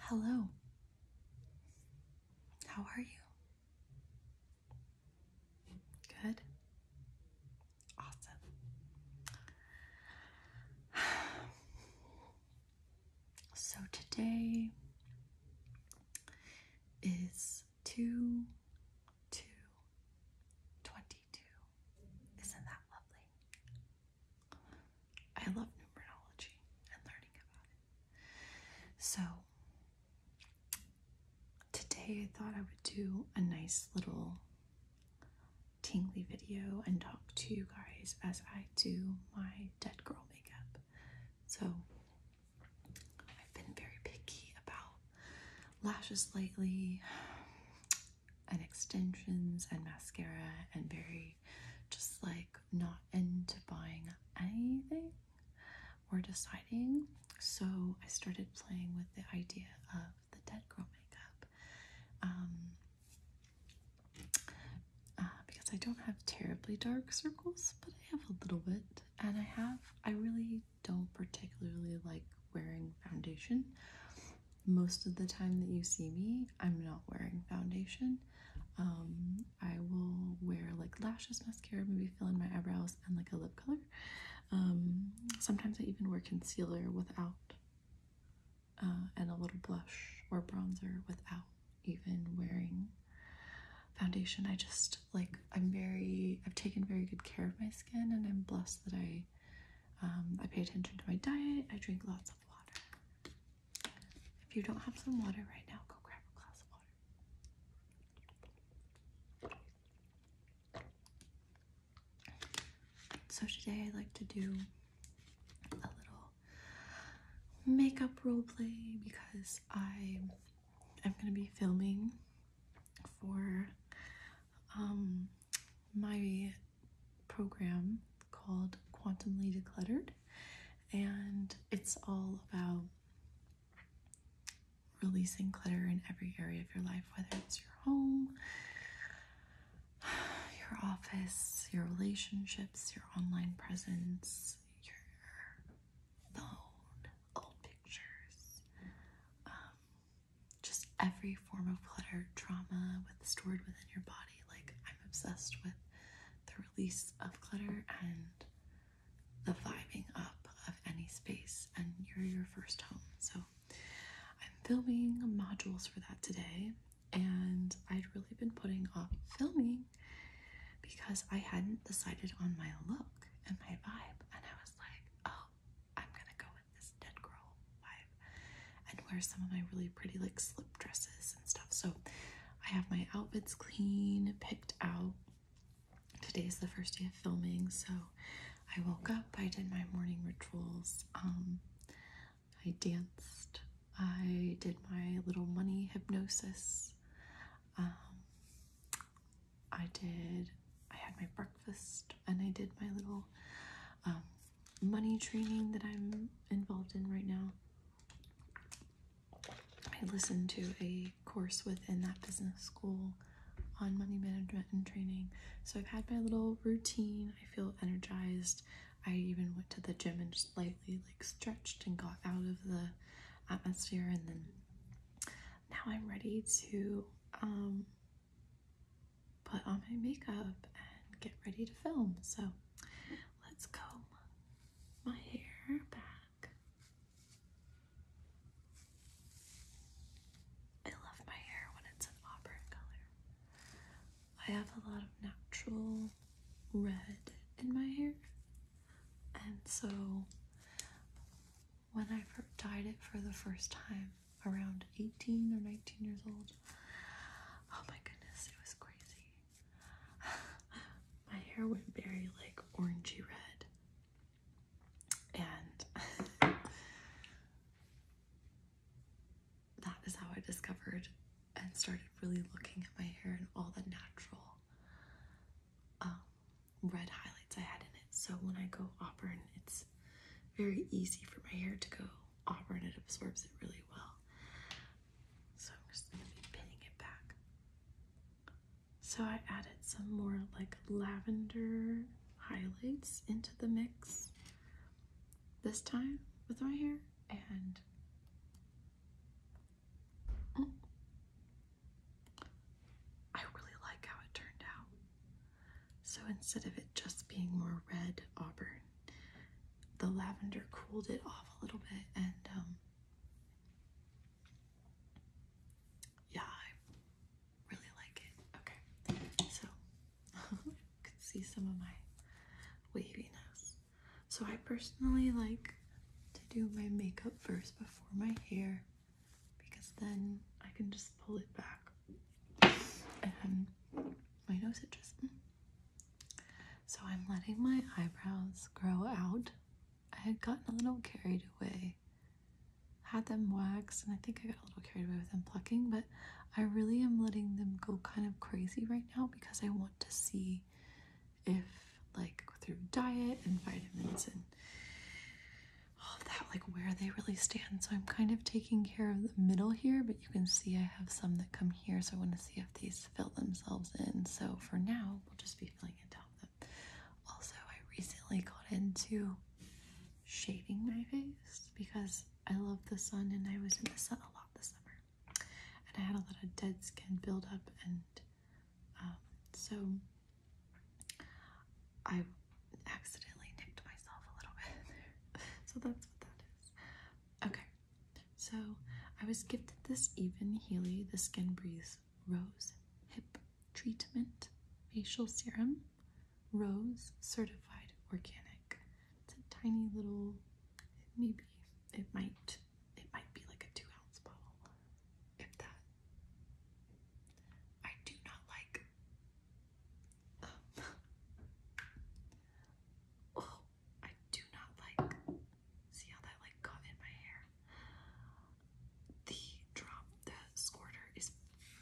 Hello. How are you? Good. Awesome. So today is 2 2 Isn't that lovely? I love numerology and learning about it. So today I thought I would do a nice little tingly video and talk to you guys as I do my dead girl makeup. So I've been very picky about lashes lately and extensions and mascara and very just like not into buying anything or deciding. So I started playing with the idea of the dead girl makeup. Um, uh, because I don't have terribly dark circles, but I have a little bit, and I have, I really don't particularly like wearing foundation most of the time that you see me, I'm not wearing foundation. Um, I will wear like lashes, mascara, maybe fill in my eyebrows, and like a lip color. Um, sometimes I even wear concealer without, uh, and a little blush or bronzer without even wearing foundation. I just like, I'm very, I've taken very good care of my skin, and I'm blessed that I. Um, I pay attention to my diet. I drink lots of water. If you don't have some water right now, go grab a glass of water. So today I would like to do a little makeup role play because I am going to be filming for um, my program called Quantumly Decluttered, and it's all about releasing clutter in every area of your life, whether it's your home, your office, your relationships, your online presence, your phone, old pictures, um, just every form of clutter, trauma with stored within your body. Like, I'm obsessed with the release of clutter and the vibing up of any space, and you're your first home. So, I'm filming modules for that today, and I'd really been putting off filming because I hadn't decided on my look and my vibe, and I was like, oh, I'm gonna go with this dead girl vibe and wear some of my really pretty like slip dresses and stuff. So I have my outfits clean, picked out. Today is the first day of filming, so I woke up, I did my morning rituals, um, I danced, I did my little money hypnosis, um, I did, I had my breakfast, and I did my little um, money training that I'm involved in right now. I listened to a course within that business school on money management and training. So I've had my little routine. I feel energized. I even went to the gym and just lightly like stretched and got out of the atmosphere and then now I'm ready to um, put on my makeup and get ready to film. So let's comb my hair back. I love my hair when it's an auburn color. I have a lot of natural red in my hair. And so when I dyed it for the first time around 18 or 19 years old, Oh my goodness, it was crazy. my hair went very like orangey red. And that is how I discovered and started really looking at my hair and all the natural um, red highlights I had in it. So when I go auburn, it's very easy for my hair to go Auburn, and it absorbs it really well. So I'm just going to be pinning it back. So I added some more like lavender highlights into the mix this time with my hair and mm. I really like how it turned out. So instead of it just being more red auburn, the lavender cooled it off a little bit and um yeah I really like it okay so you can see some of my waviness so I personally like to do my makeup first before my hair because then I can just pull it back and my nose just. Hmm, so I'm letting my eyebrows grow out. I had gotten a little carried away. Had them waxed, and I think I got a little carried away with them plucking, but I really am letting them go kind of crazy right now because I want to see if, like, through diet and vitamins and all that, like, where they really stand. So I'm kind of taking care of the middle here, but you can see I have some that come here, so I want to see if these fill themselves in. So for now, we'll just be filling it down. them. Also, I recently got into shaving my face because I love the sun and I was in the sun a lot this summer. And I had a lot of dead skin buildup and um, so I accidentally nicked myself a little bit. so that's what that is. Okay, so I was gifted this Even Healy The Skin Breathes Rose Hip Treatment Facial Serum Rose Certified Organic. It's a tiny little, maybe it might, it might be like a two ounce bottle, if that. I do not like. Um, oh, I do not like, see how that like got in my hair? The drop, the squirter is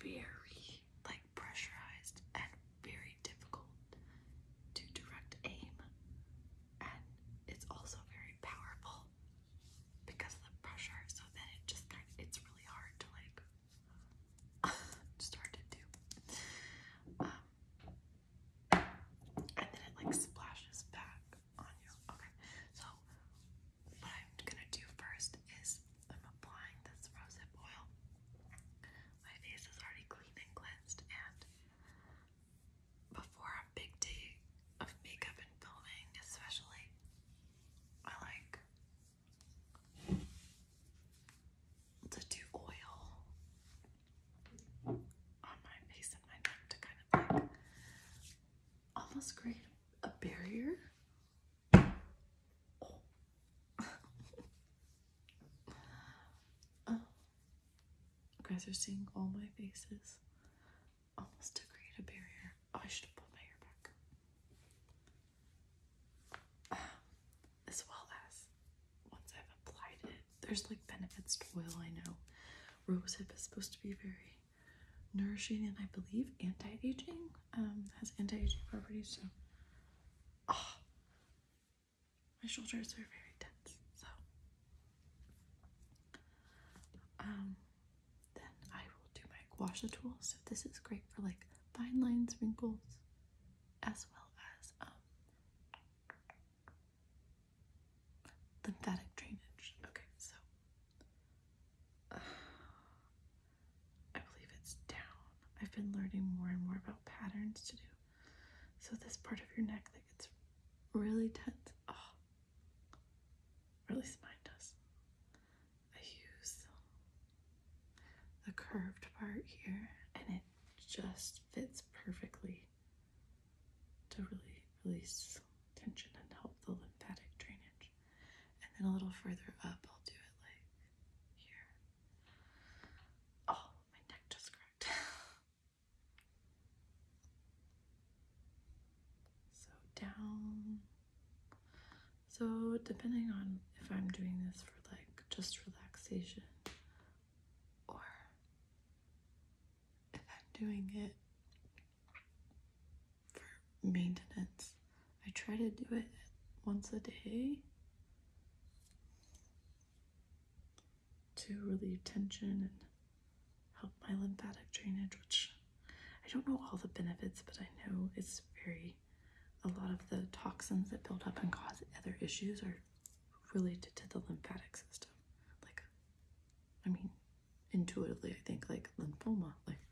very like pressurized and very difficult to direct aim. And it's also very powerful because of the pressure. So then it just kind of, it's really hard to like, start to do. Um, and then it like splashes back on you. Okay, so what I'm gonna do first is I'm applying this rosehip oil. My face is already clean and cleansed, and before a big day of makeup and filming, especially, I like to do oil on my face and my neck to kind of almost create a barrier. Oh. Oh. guys are seeing all my faces almost to create a barrier. Oh, I should have my hair back as well as once I've applied it. There's like benefits to oil, I know. Rosehip is supposed to be very nourishing and I believe anti-aging, um, has anti-aging properties, so oh, my shoulders are very tense, so um, then I will do my guasha tool, so this is great for like fine lines, wrinkles, as well as um, lymphatic drainage. Okay, so I believe it's down. I've been learning more and more about patterns to do. So this part of your neck that gets really tense, oh, at least mine does. I use the curved part here and it just fits perfectly to really release tension and help the lymphatic drainage. And then a little further up, I'll do it like here. Oh, my neck just cracked. so down. So depending on if I'm doing this for like just relaxation, or if I'm doing it for maintenance, I try to do it once a day to relieve tension and help my lymphatic drainage, which I don't know all the benefits, but I know it's very a lot of the toxins that build up and cause other issues are related to the lymphatic system. Like, I mean, intuitively, I think like lymphoma. Like,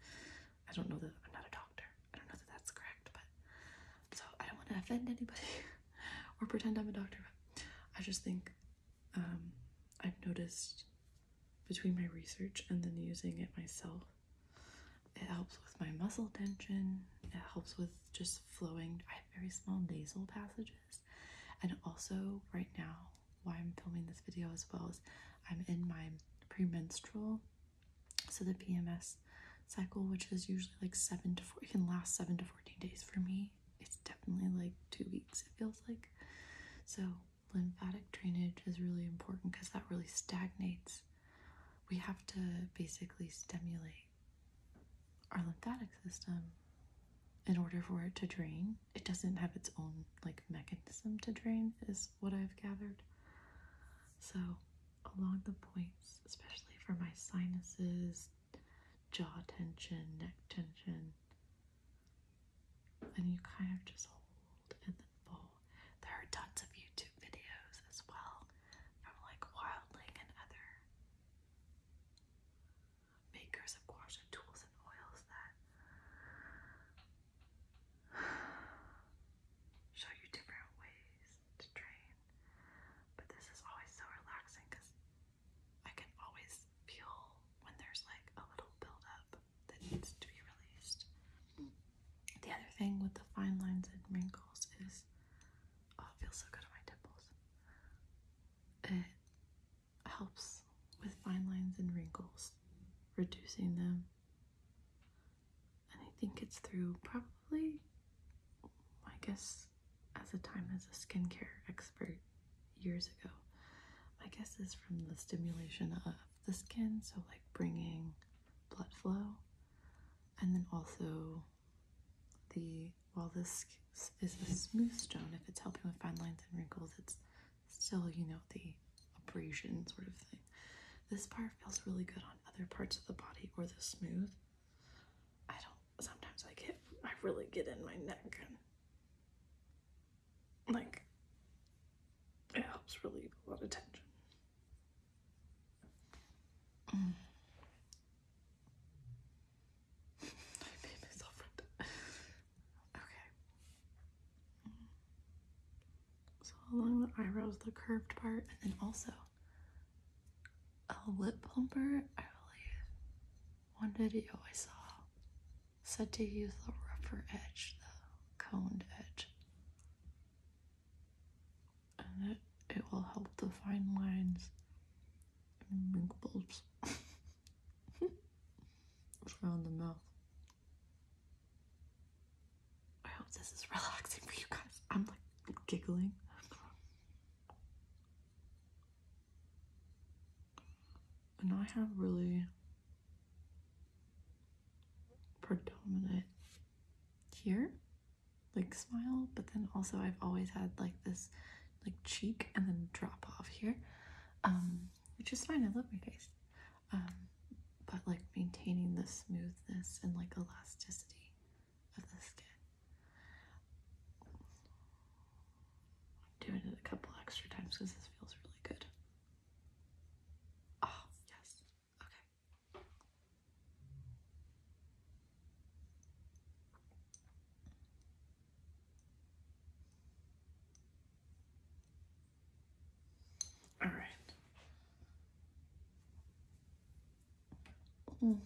I don't know that I'm not a doctor. I don't know that that's correct, but so I don't want to offend anybody or pretend I'm a doctor. I just think um, I've noticed between my research and then using it myself, it helps with my muscle tension. It helps with just flowing. I have very small nasal passages. And also, right now, why I'm filming this video as well as I'm in my premenstrual, so the PMS cycle, which is usually like seven to four, it can last seven to 14 days for me. It's definitely like two weeks, it feels like. So, lymphatic drainage is really important because that really stagnates. We have to basically stimulate our lymphatic system in order for it to drain. It doesn't have its own like mechanism to drain is what I've gathered. So along the points, especially for my sinuses, jaw tension, neck tension, and you kind of just hold and then fold. There are tons of YouTube videos as well from like wildling and other makers of gouache and tools and oils that show you different ways to train. But this is always so relaxing because I can always feel when there's like a little buildup that needs to be released. The other thing with the fine lines and wrinkles is Oh, it feels so good on my temples. It helps with fine lines and wrinkles, reducing them. And I think it's through probably, I guess, as a time as a skincare expert years ago, my guess is from the stimulation of the skin, so like bringing blood flow, and then also the well, this is the smooth stone, if it's helping with fine lines and wrinkles, it's still, you know, the abrasion sort of thing. This bar feels really good on other parts of the body or the smooth. I don't sometimes I get I really get in my neck and like it helps relieve a lot of tension okay. So along the eyebrows, the curved part, and then also a lip plumper. I believe one video I saw said to use the rougher edge, the coned edge and it, will help define lines and wrinkle around the mouth. I hope this is relaxing for you guys. I'm like giggling. And I have really predominant here like smile but then also I've always had like this like cheek and then drop off here um which is fine I love my face um but like maintaining the smoothness and like elasticity of the skin doing it a couple extra times because this feels really good oh yes Okay. All right. Mm.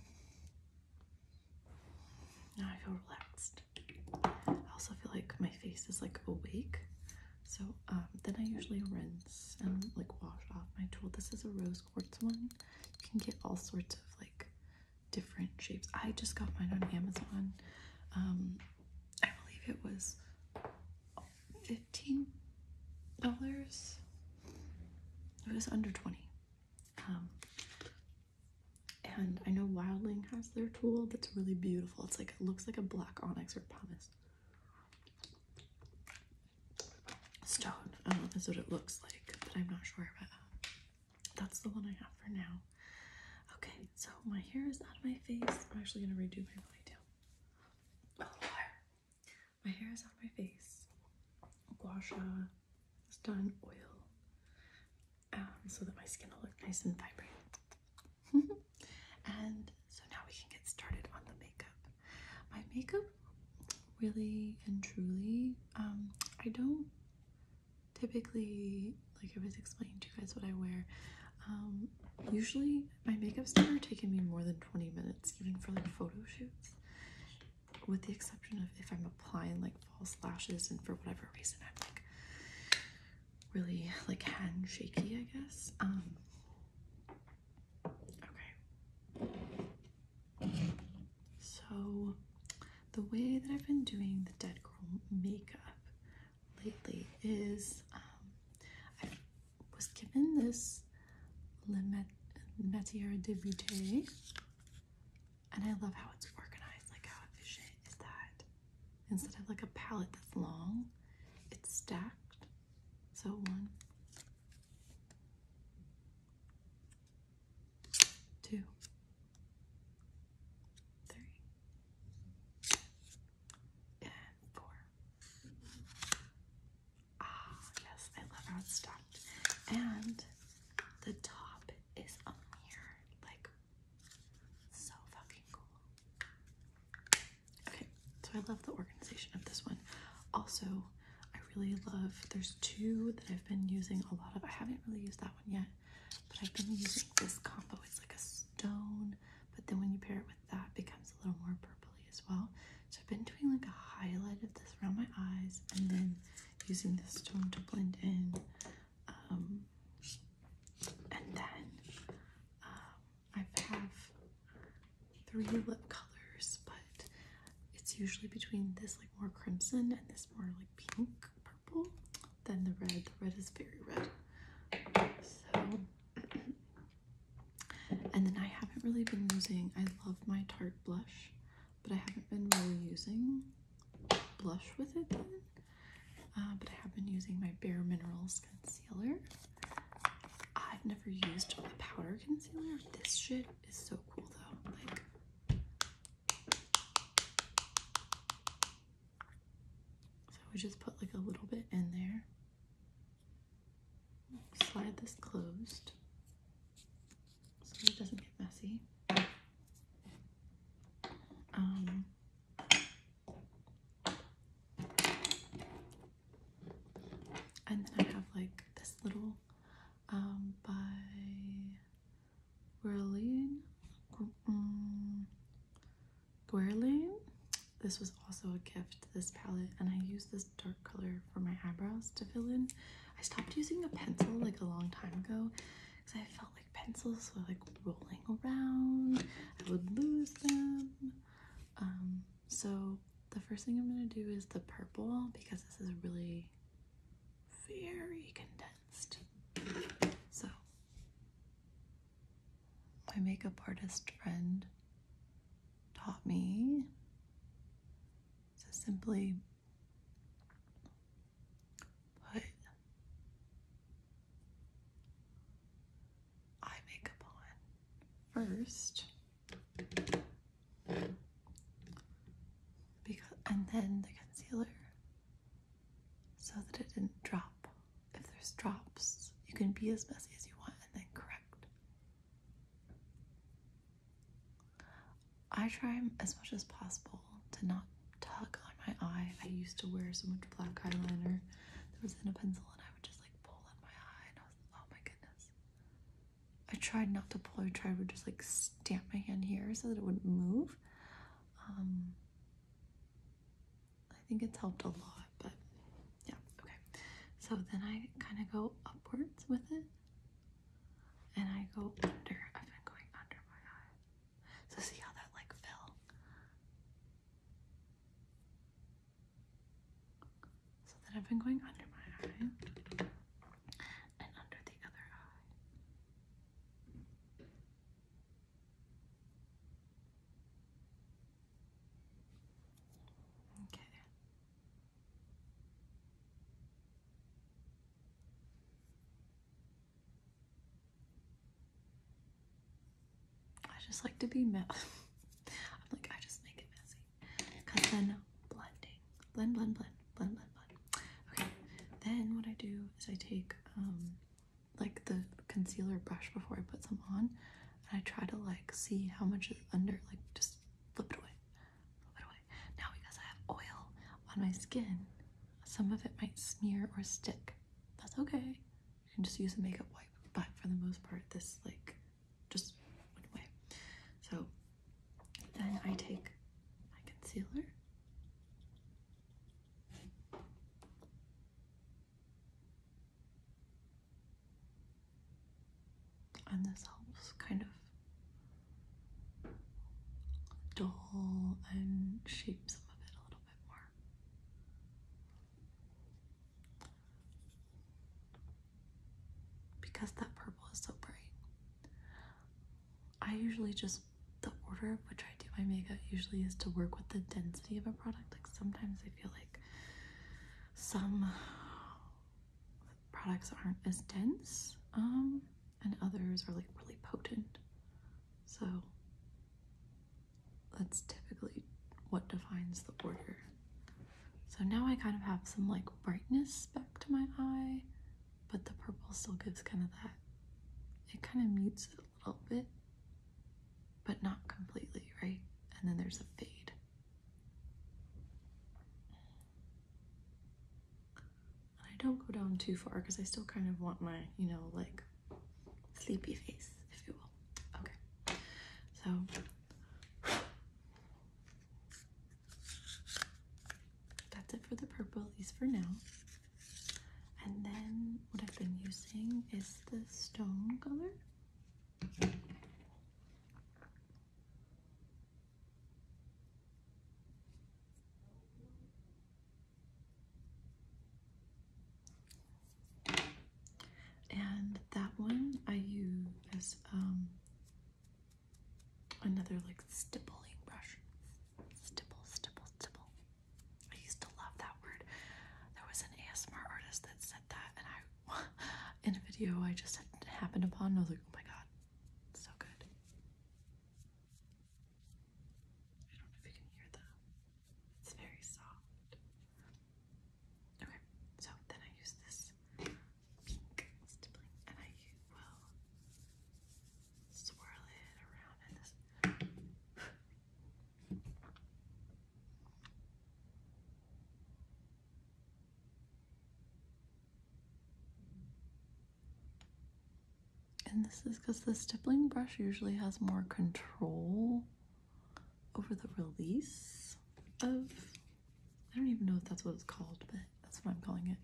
Now I feel relaxed. I also feel like my face is like awake. So um, then I usually rinse and like wash off my tool. This is a rose rose quartz one. You can get all sorts of like different shapes. I just got mine on Amazon. Um, I believe it was $15. It was under 20 um, And I know Wildling has their tool that's really beautiful. It's like, it looks like a black onyx or pumice stone um, is what it looks like, but I'm not sure. about that. that's the one I have for now. Okay, so my hair is out of my face. I'm actually gonna redo my ponytail. Oh, my hair is out of my face. Gua is done oil, um, so that my skin will look nice and vibrant. and so now we can get started on the makeup. My makeup really and truly, um, I don't typically, like I was explaining to you guys what I wear, um, usually my makeup's never taken me more than 20 minutes, even for like photo shoots, with the exception of if I'm applying like false lashes and for whatever reason I'm like really like hand shaky, I guess. Um, okay. So, the way that I've been doing the Dead Girl makeup lately is um, I was given this Le Metier de Vite, and I love how it's organized, like how efficient is that? Instead of like a palette that's long, it's stacked. So one, two, three, and four. Ah, yes, I love how it's stopped. And the top is a mirror, like so fucking cool. Okay, so I love the organization of this one. Also, I really love, there's two that I've been using a lot of. I haven't really used that one yet, but I've been using this combo. It's like a stone, but then when you pair it with that, it becomes a little more purpley as well. So I've been doing like a highlight of this around my eyes and then using this stone to blend in. Um, and then um, I have three lip colors, but it's usually between this like more crimson and this more like pink purple than the red. The red is very red. So and then I haven't really been using I love my Tarte blush, but I haven't been really using blush with it uh, but I have been using my Bare Minerals concealer. I've never used a powder concealer. This shit is so cool though. so we just put like a little bit in there. Slide this closed so it doesn't get messy. Um and then I have like this little um, by Guerlain. Guerlain. Mm, this was also a gift, this palette, and I use this dark color for my eyebrows to fill in. I stopped using a pencil like a long time ago because I felt like pencils were like rolling around. I would lose them. Um, so the first thing I'm going to do is the purple because this is really very condensed. So my makeup artist friend taught me to simply put eye makeup on first because, and then the concealer so that it didn't drop. If there's drops, you can be as messy as you want and then correct. I try as much as possible to not tug on my eye. I used to wear so much black eyeliner that was in a pencil and I would just like pull on my eye and I was oh my goodness. I tried not to pull. I tried to just like stamp my hand here so that it wouldn't move. Um, I think it's helped a lot, but yeah, okay. So then I kind of go upwards with it, and I go under. I've been going under my eye. So see how that like fell? So then I've been going under my eye and under the other eye. Okay. I just like to be messy. I'm like, I just make it messy then blending, blend, blend, blend, blend, blend, blend. Okay, then what I do is I take um, like the concealer brush before I put some on, and I try to like see how much is under, like just flip it away, flip it away. Now because I have oil on my skin, some of it might smear or stick. That's okay. You can just use a makeup wipe, but for the most part, this like just went away. So then I take my concealer. And this helps kind of dull and shape some of it a little bit more because that purple is so bright. I usually just, the order of which I do my makeup usually is to work with the density of a product. Like sometimes I feel like some products aren't as dense um, and others are like really potent. So that's typically what defines the order. So now I kind of have some like brightness back to my eye, but the purple still gives kind of that, it kind of mutes it a little bit, but not completely, right? And then there's a fade. I don't go down too far because I still kind of want my, you know, like sleepy face, if you will. Okay, so that's it for the purple, at least for now. And then what I've been using is the stone color. And that one I use um, another like stippling brush. Stipple, stipple, stipple. I used to love that word. There was an ASMR artist that said that, and I, in a video I just happened upon, I was like, oh my god, so good. I don't know if you can hear that. It's very soft. Okay, so then I use this and I will swirl it around this. And this is because the stippling brush usually has more control over the release of I don't even know if that's what it's called, but that's what I'm calling it.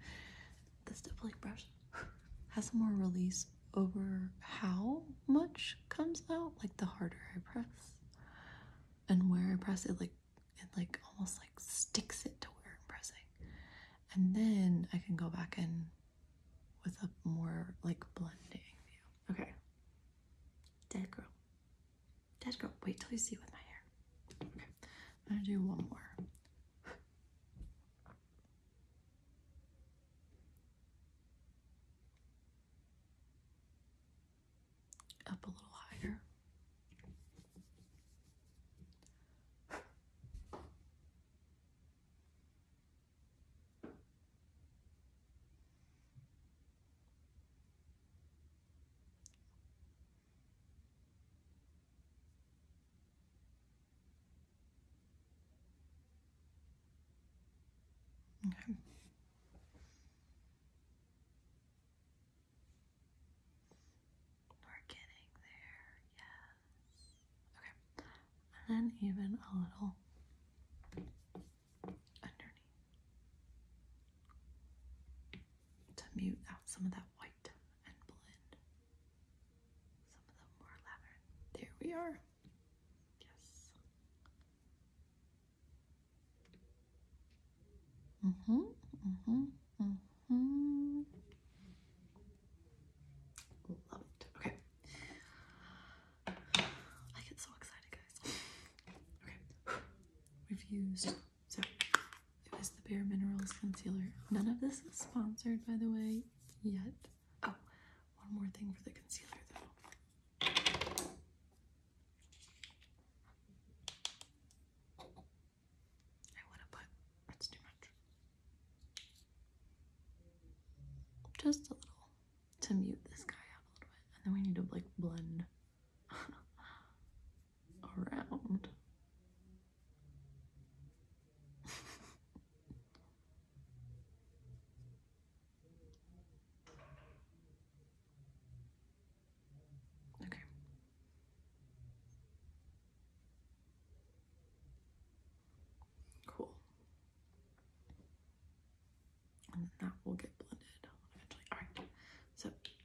This stippling brush has more release over how much comes out, like the harder I press and where I press it, like it like almost like sticks it to where I'm pressing. And then I can go back in with a more like blending view. Okay. Dead girl. Dad, go. Wait till you see with my hair. Okay. I'm gonna do one more. Up a little higher. Okay. We're getting there, yes. Okay, and even a little underneath to mute out some of that white and blend some of the more lavender. There we are. Yes. Mm-hmm. Mm-hmm. Mm-hmm. Love Okay. I get so excited, guys. Okay. We've used so it was the Bare Minerals Concealer. None of this is sponsored, by the way, yet. Oh, one more thing for the concealer though. I want to put, that's too much. Just a little to mute this guy out a little bit. And then we need to like blend around. okay. Cool. And that will get blended eventually. All right. So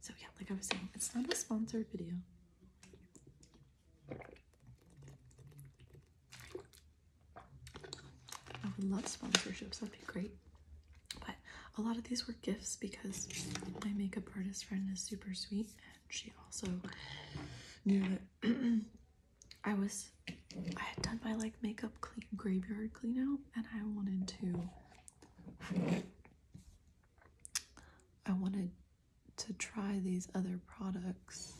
So yeah, like I was saying, it's not a sponsored video. I would love sponsorships, that'd be great. But a lot of these were gifts because my makeup artist friend is super sweet and she also knew that I was I had done my like makeup clean graveyard clean out and I wanted to I wanted to try these other products.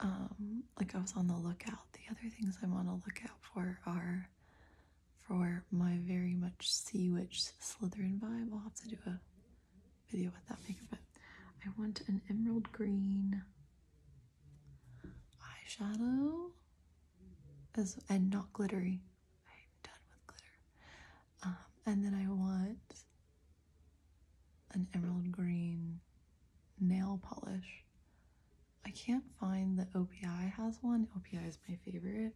Um, like I was on the lookout. The other things I'm on the lookout for are for my very much Sea Witch Slytherin vibe. I'll have to do a video with that makeup, I want an emerald green eyeshadow as and not glittery. I'm done with glitter. Um, and then I want an emerald green nail polish. I can't find that OPI has one. OPI is my favorite.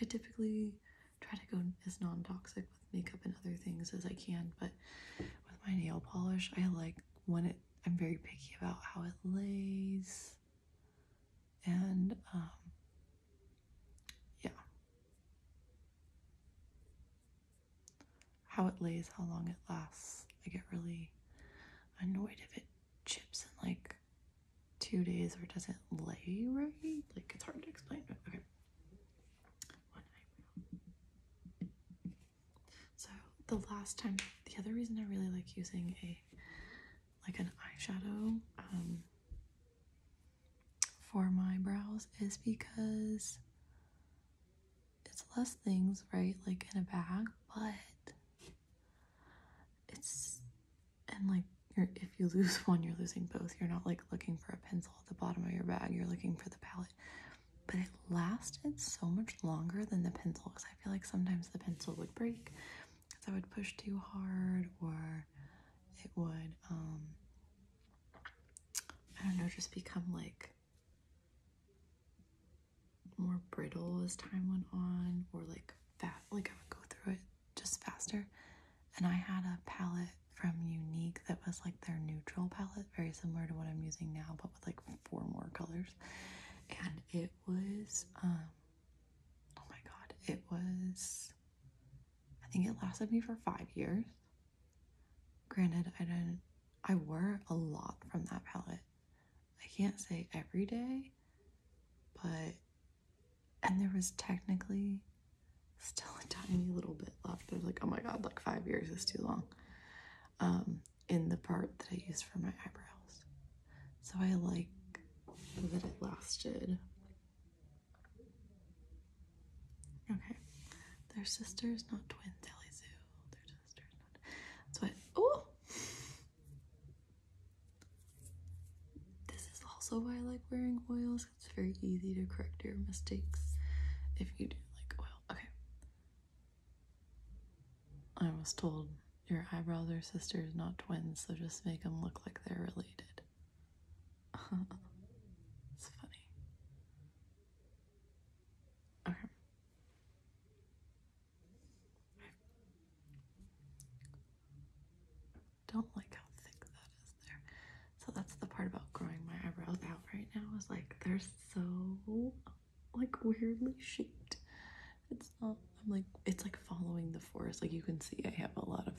I typically try to go as non-toxic with makeup and other things as I can, but with my nail polish, I like when it I'm very picky about how it lays and um, yeah, how it lays, how long it lasts. I get really annoyed if it chips in like two days or doesn't lay right. Like it's hard to explain, okay. So the last time, the other reason I really like using a like an eyeshadow um, for my brows is because it's less things, right? Like in a bag, but it's and like if you lose one, you're losing both. You're not like looking for a pencil at the bottom of your bag, you're looking for the palette. But it lasted so much longer than the pencil because I feel like sometimes the pencil would break because I would push too hard or it would, um, I don't know, just become like more brittle as time went on or like fat, like I would go through it just faster. And I had a palette from Unique that was like their neutral palette, very similar to what I'm using now, but with like four more colors. And it was, um, oh my god, it was, I think it lasted me for five years. Granted, I didn't, I wore a lot from that palette. I can't say every day, but, and there was technically still a tiny little bit left. I was like, oh my god, like five years is too long. Um, in the part that I used for my eyebrows. So I like that it lasted. Okay. their sisters, not twins, Ellie Zoo. sisters, not That's why. oh This is also why I like wearing oils. It's very easy to correct your mistakes if you do like oil. Okay. I was told your eyebrows are sisters, not twins, so just make them look like they're related. it's funny. Okay. Don't like how thick that is there. So that's the part about growing my eyebrows out right now is like they're so like weirdly shaped it's not i'm like it's like following the forest like you can see i have a lot of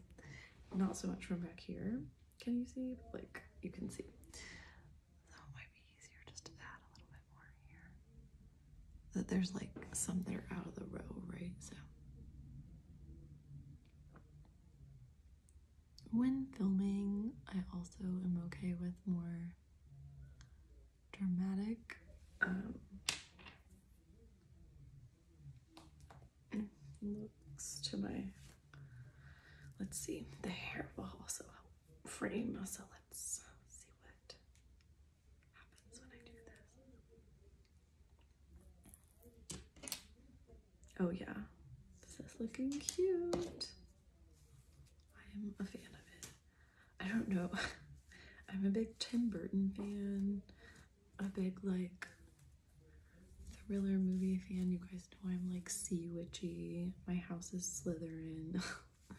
not so much from back here can you see like you can see that there's like some that are out of the row right so when filming i also am okay with more dramatic um, looks to my, let's see, the hair will also help frame, so let's uh, see what happens when I do this. Oh yeah, this is looking cute. I am a fan of it. I don't know, I'm a big Tim Burton fan a big like thriller movie fan. You guys know I'm like sea witchy. My house is Slytherin.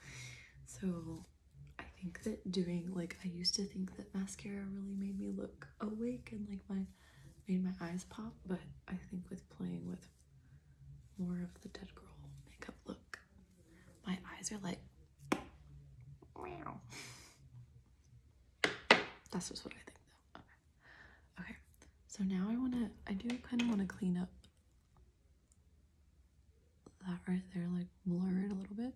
so I think that doing like I used to think that mascara really made me look awake and like my made my eyes pop, but I think with playing with more of the dead girl makeup look, my eyes are like that's just what I think Okay. Okay. So now I wanna I do kinda wanna clean up that right there, like blur it a little bit.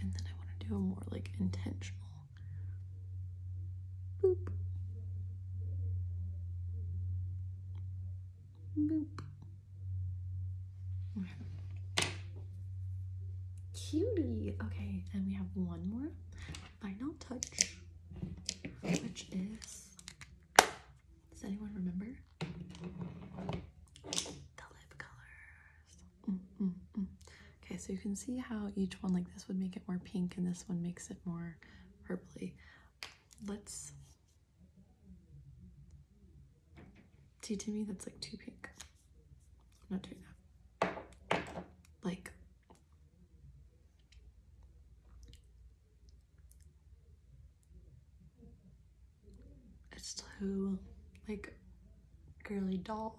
And then I wanna do a more like intentional Boop. Boop. Cutie. Okay, and we have one more final touch, which is does anyone remember? The lip colors. Mm, mm, mm. Okay, so you can see how each one like this would make it more pink and this one makes it more her Let's see to me that's like too pink. I'm not doing that. Like it's too like girly doll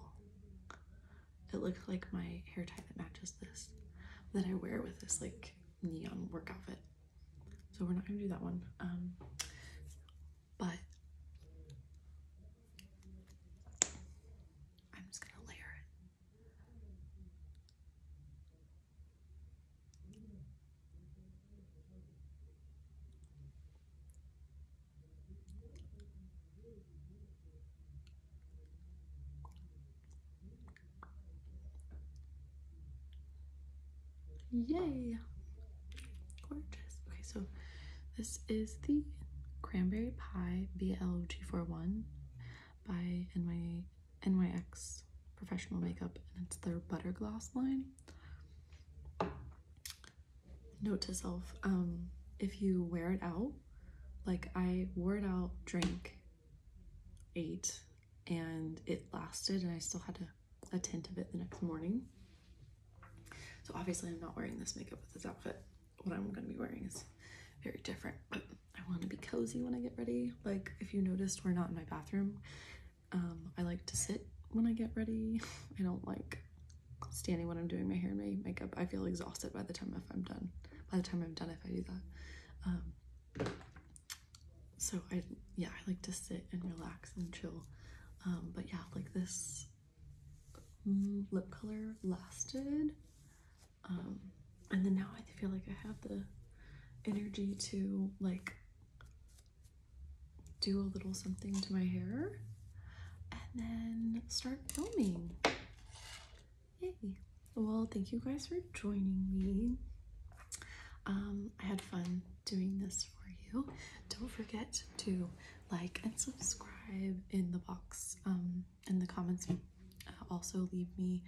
it looks like my hair tie that matches this that I wear with this like neon workout outfit. So we're not gonna do that one. Um, but I'm just gonna layer it. Yay! Gorgeous. Okay, so this is the Cranberry Pie blg Two Four One by NY, NYX Professional Makeup, and it's their Butter Gloss line. Note to self, um, if you wear it out, like I wore it out, drank, ate, and it lasted and I still had a, a tint of it the next morning. So obviously I'm not wearing this makeup with this outfit. What I'm gonna be wearing is very different. But I wanna be cozy when I get ready. Like if you noticed, we're not in my bathroom. Um, I like to sit when I get ready. I don't like standing when I'm doing my hair and my makeup. I feel exhausted by the time if I'm done by the time I'm done if I do that. Um, so I yeah I like to sit and relax and chill. Um, but yeah, like this mm, lip color lasted, um, and then now I feel like I have the energy to like do a little something to my hair and then start filming. Hey, well, thank you guys for joining me. Um, I had fun doing this for you. Don't forget to like and subscribe in the box um, in the comments. Uh, also, leave me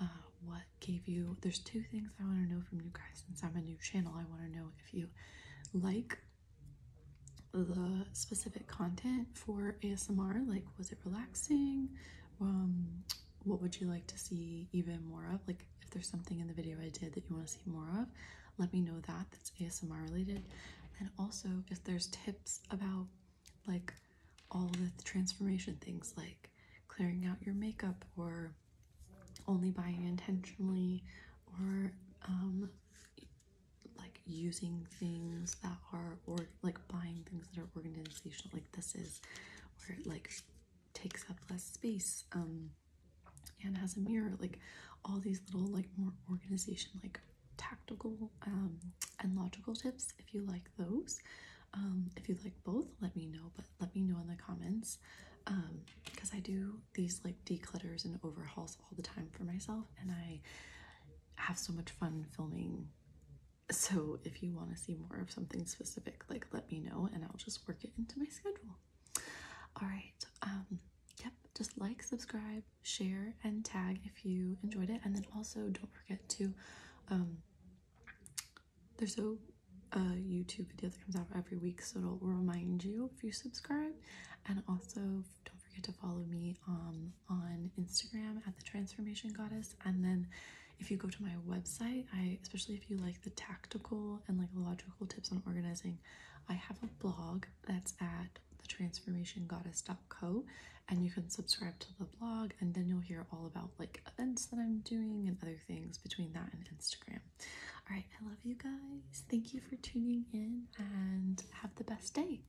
uh, what gave you. There's two things I want to know from you guys since I'm a new channel. I want to know if you like the specific content for ASMR, like was it relaxing? Um, what would you like to see even more of? Like if there's something in the video I did that you want to see more of, let me know that. That's ASMR related. And also if there's tips about like all the transformation things like clearing out your makeup or only buying intentionally or um, like using things that are or like buying things that are organizational like this is where it like takes up less space um, and has a mirror like all these little like more organization like tactical um, and logical tips if you like those um, if you like both let me know but let me know in the comments because i do these like declutters and overhauls all the time for myself and i have so much fun filming so if you want to see more of something specific, like let me know and I'll just work it into my schedule. All right. Um, yep. Just like, subscribe, share, and tag if you enjoyed it. And then also don't forget to, um, there's a, a YouTube video that comes out every week, so it'll remind you if you subscribe. And also don't forget to follow me on on Instagram at the Transformation Goddess. And then if you go to my website, I especially if you like the tactical and like logical tips on organizing, I have a blog that's at the Transformation thetransformationgoddess.co and you can subscribe to the blog and then you'll hear all about like events that I'm doing and other things between that and Instagram. All right, I love you guys. Thank you for tuning in and have the best day.